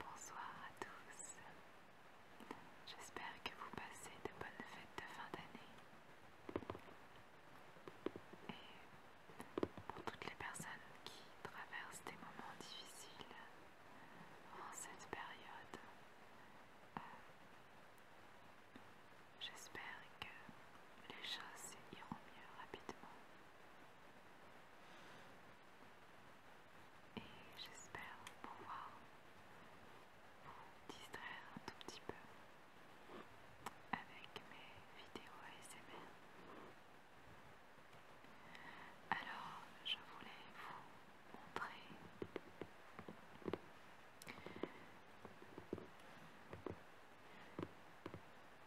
Bonsoir à tous, j'espère que vous passez de bonnes fêtes de fin d'année et pour toutes les personnes qui traversent des moments difficiles en cette période, euh, J'espère que les choses iront mieux rapidement. Et j'espère pouvoir vous distraire un tout petit peu avec mes vidéos ASMR. Alors, je voulais vous montrer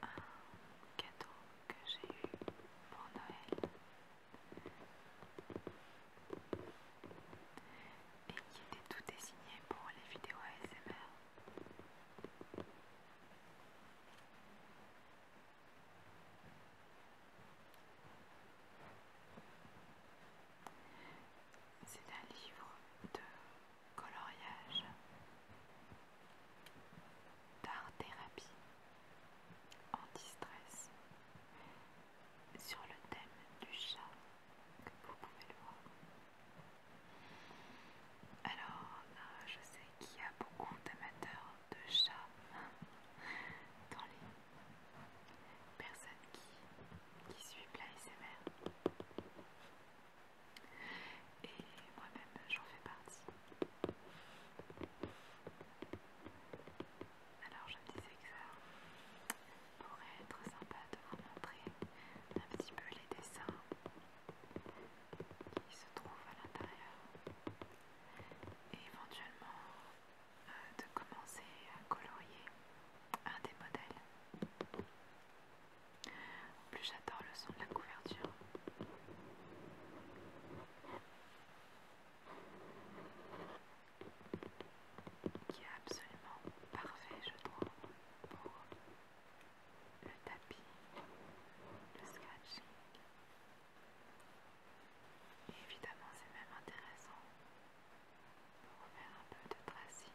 un cadeau que j'ai eu pour Noël et qui était tout désigné pour les vidéos ASMR. C'est un livre de coloriage, d'art-thérapie, anti-stress, sur le thème du chat, que vous pouvez le voir. Alors, euh, je sais qu'il y a beaucoup d'amateurs de chats dans les personne qui, qui suit l'ASMR. Et moi-même, j'en fais partie. Alors, je me disais que ça pourrait être sympa de vous montrer un petit peu les dessins qui se trouvent à l'intérieur et éventuellement euh, de commencer à colorier un des modèles. En plus j'adore le son de la couverture. Qui est absolument parfait, je trouve, pour le tapis, le scratching. Et évidemment, c'est même intéressant pour faire un peu de tracing.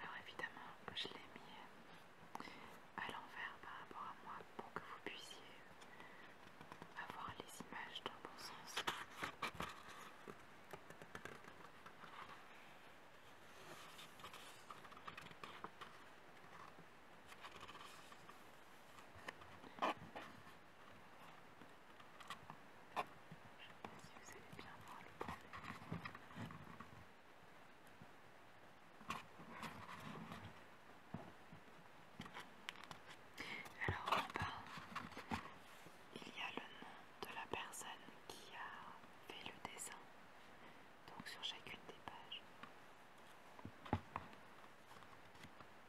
Alors évidemment, je l'ai mis euh, à l'envers par rapport à moi pour que vous puissiez avoir les images dans le bon sens. Alors en bas, il y a le nom de la personne qui a fait le dessin, donc sur chacune des pages.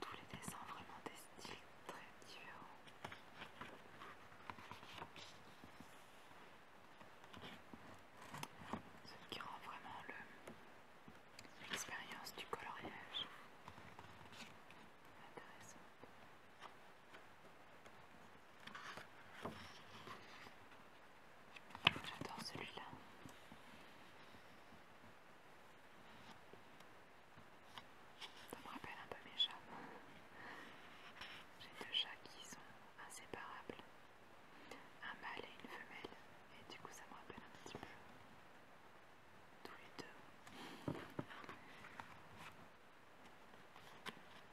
Tous les dessins vraiment des styles très différents. Ce qui rend vraiment l'expérience du coloriage intéressante. J'adore celui-là. Ça me rappelle un peu mes chats. J'ai deux chats qui sont inséparables. Un mâle et une femelle. Et du coup ça me rappelle un petit peu tous les deux. Je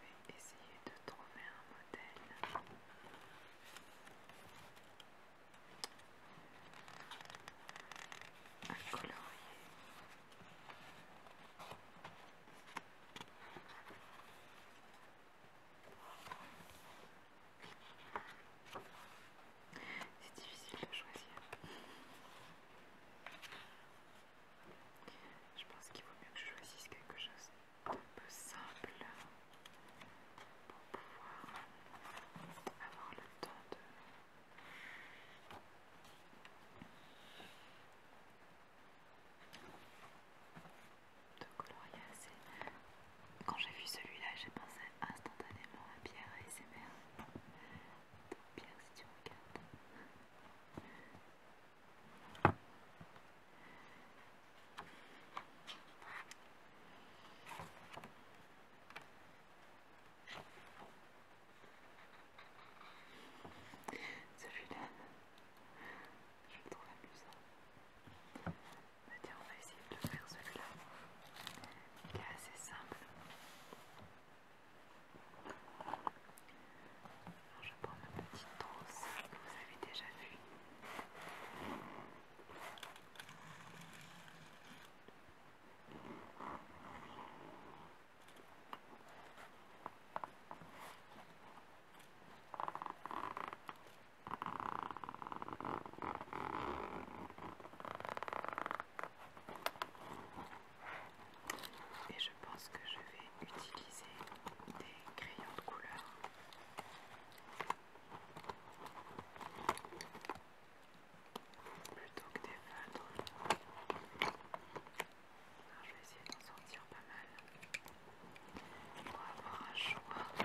vais essayer de trouver un modèle. À colorier. C'est difficile de choisir. Je pense qu'il vaut mieux que je choisisse quelque chose de peu simple pour pouvoir avoir le temps de... de colorier assez quand j'ai vu celui-là, j'ai pensé instantanément à Pierre et ses mères. Donc Pierre, si tu regardes. Celui-là, je le trouve amusant on va essayer de faire celui-là. Il est assez simple. je prends ma petite trousse que vous avez déjà vue. Et je pense que je vais utiliser des crayons de couleur. Plutôt que des feutres. je vais essayer d'en sortir pas mal. Pour avoir un choix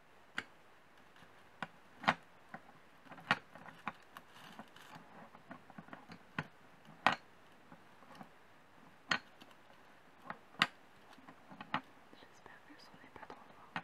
J'espère que ce son n'est pas trop loin.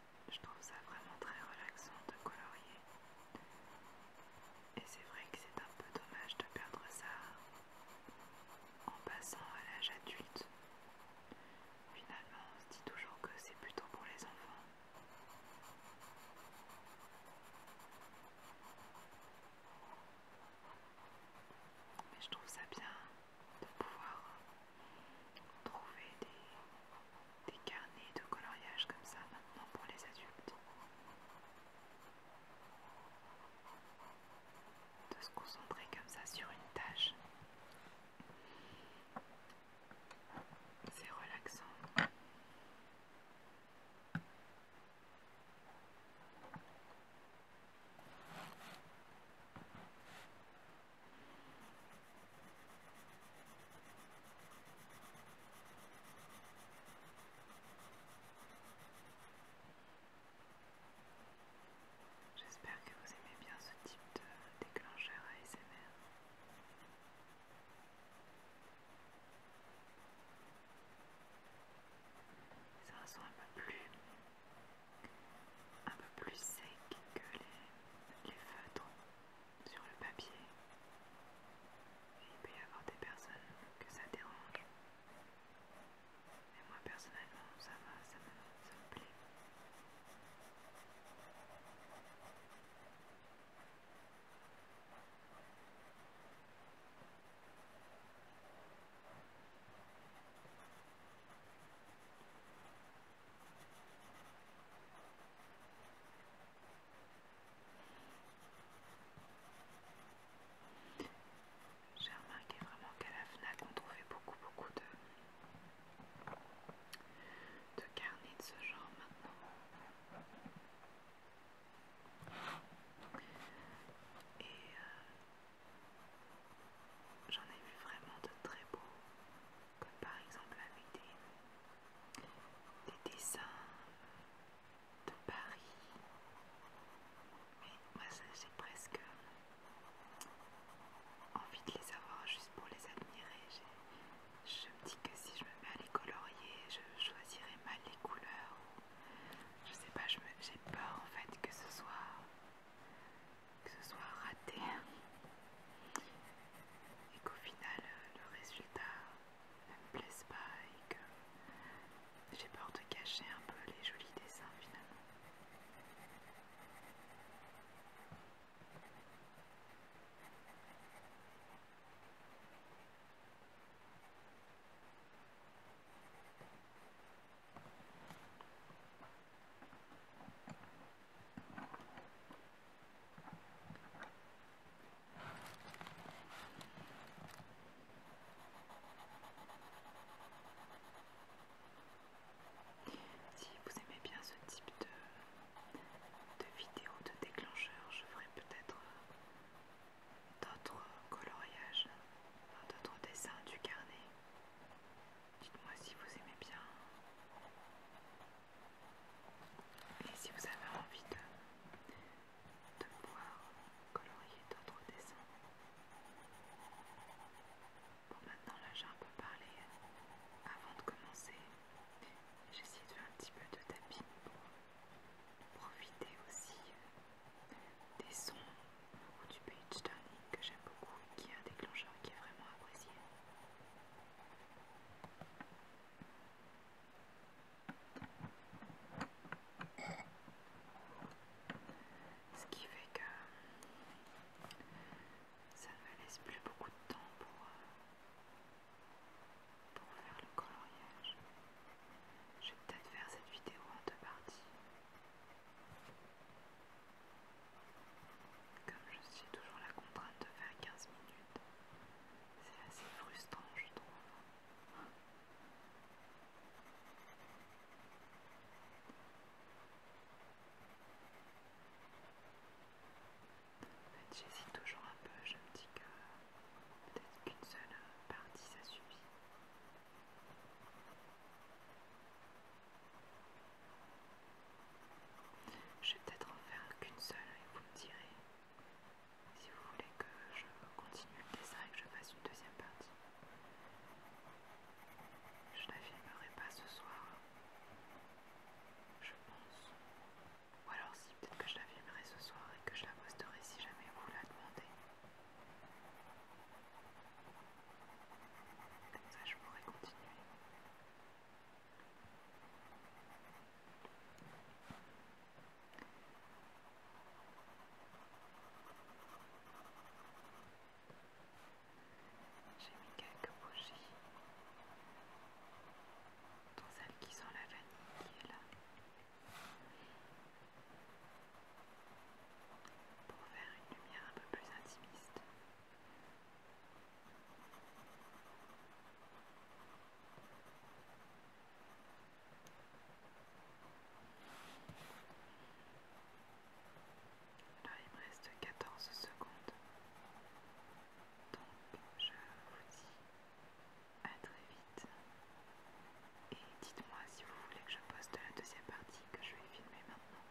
je trouve ça vraiment très relaxant de colorier. Et c'est vrai que c'est un peu dommage de perdre ça en passant à l'âge adulte. Finalement, on se dit toujours que c'est plutôt pour les enfants. Mais je trouve ça bien de pouvoir trouver des, des carnets de coloriage comme ça maintenant pour les adultes. De se concentrer comme ça sur une tâche. C'est relaxant. J'espère que vous aimez bien ce type de déclencheur ASMR. Ça sonne un peu plus, un peu plus sec que les feutres sur le papier. il peut y avoir des personnes que ça dérange. Mais moi personnellement, ça va, ça me plaît. J'ai remarqué vraiment qu'à la FNAC on trouvait beaucoup beaucoup de, de carnets de ce genre maintenant. Et euh, j'en ai vu vraiment de très beaux comme par exemple avec des, dessins de Paris. Mais moi j'ai presque envie de les avoir juste pour les admirer. Je me dis que si je me mets à les colorier, je choisirais mal les couleurs. Je sais pas, j'ai peur en fait que ce soit que ce soit raté et qu'au final euh, le résultat ne me plaise pas et que j'ai peur de cacher un peu les jolis dessins finalement. Si vous aimez bien ce type de, de vidéo de déclencheur, je ferai peut-être euh, d'autres coloriages, d'autres dessins du carnet. Dites-moi si vous aimez bien et si vous avez envie de, pouvoir colorier d'autres dessins. Bon maintenant là j'ai un peu parlé avant de commencer. J'ai essayé de faire un petit peu de tapis. pour profiter aussi euh, des sons ou du Beach turning que j'aime beaucoup et qui est un déclencheur qui est vraiment apprécié. Ce qui fait que ça ne me laisse plus beaucoup de temps pour, euh, pour faire le coloriage. Je vais peut-être faire cette vidéo en deux parties. Comme je suis toujours la contrainte de faire 15 minutes, c'est assez frustrant, je trouve. En fait, j'hésite toujours un peu, je me dis que peut-être qu'une seule partie ça suffit. Je vais peut-être en faire qu'une seule et vous me direz si vous voulez que je continue le dessin et que je fasse une deuxième partie. Je la filmerai pas ce soir, je pense. Ou alors si, peut-être que je la filmerai ce soir et que je la posterai si jamais vous la demandez. Comme ça, je pourrai continuer. J'ai mis quelques bougies dans celle qui sent la vanille qui est là pour faire une lumière un peu plus intimiste. Alors, il me reste 14 secondes. Donc, je vous dis à très vite. Et dites-moi si vous voulez que je poste la deuxième partie que je vais filmer maintenant.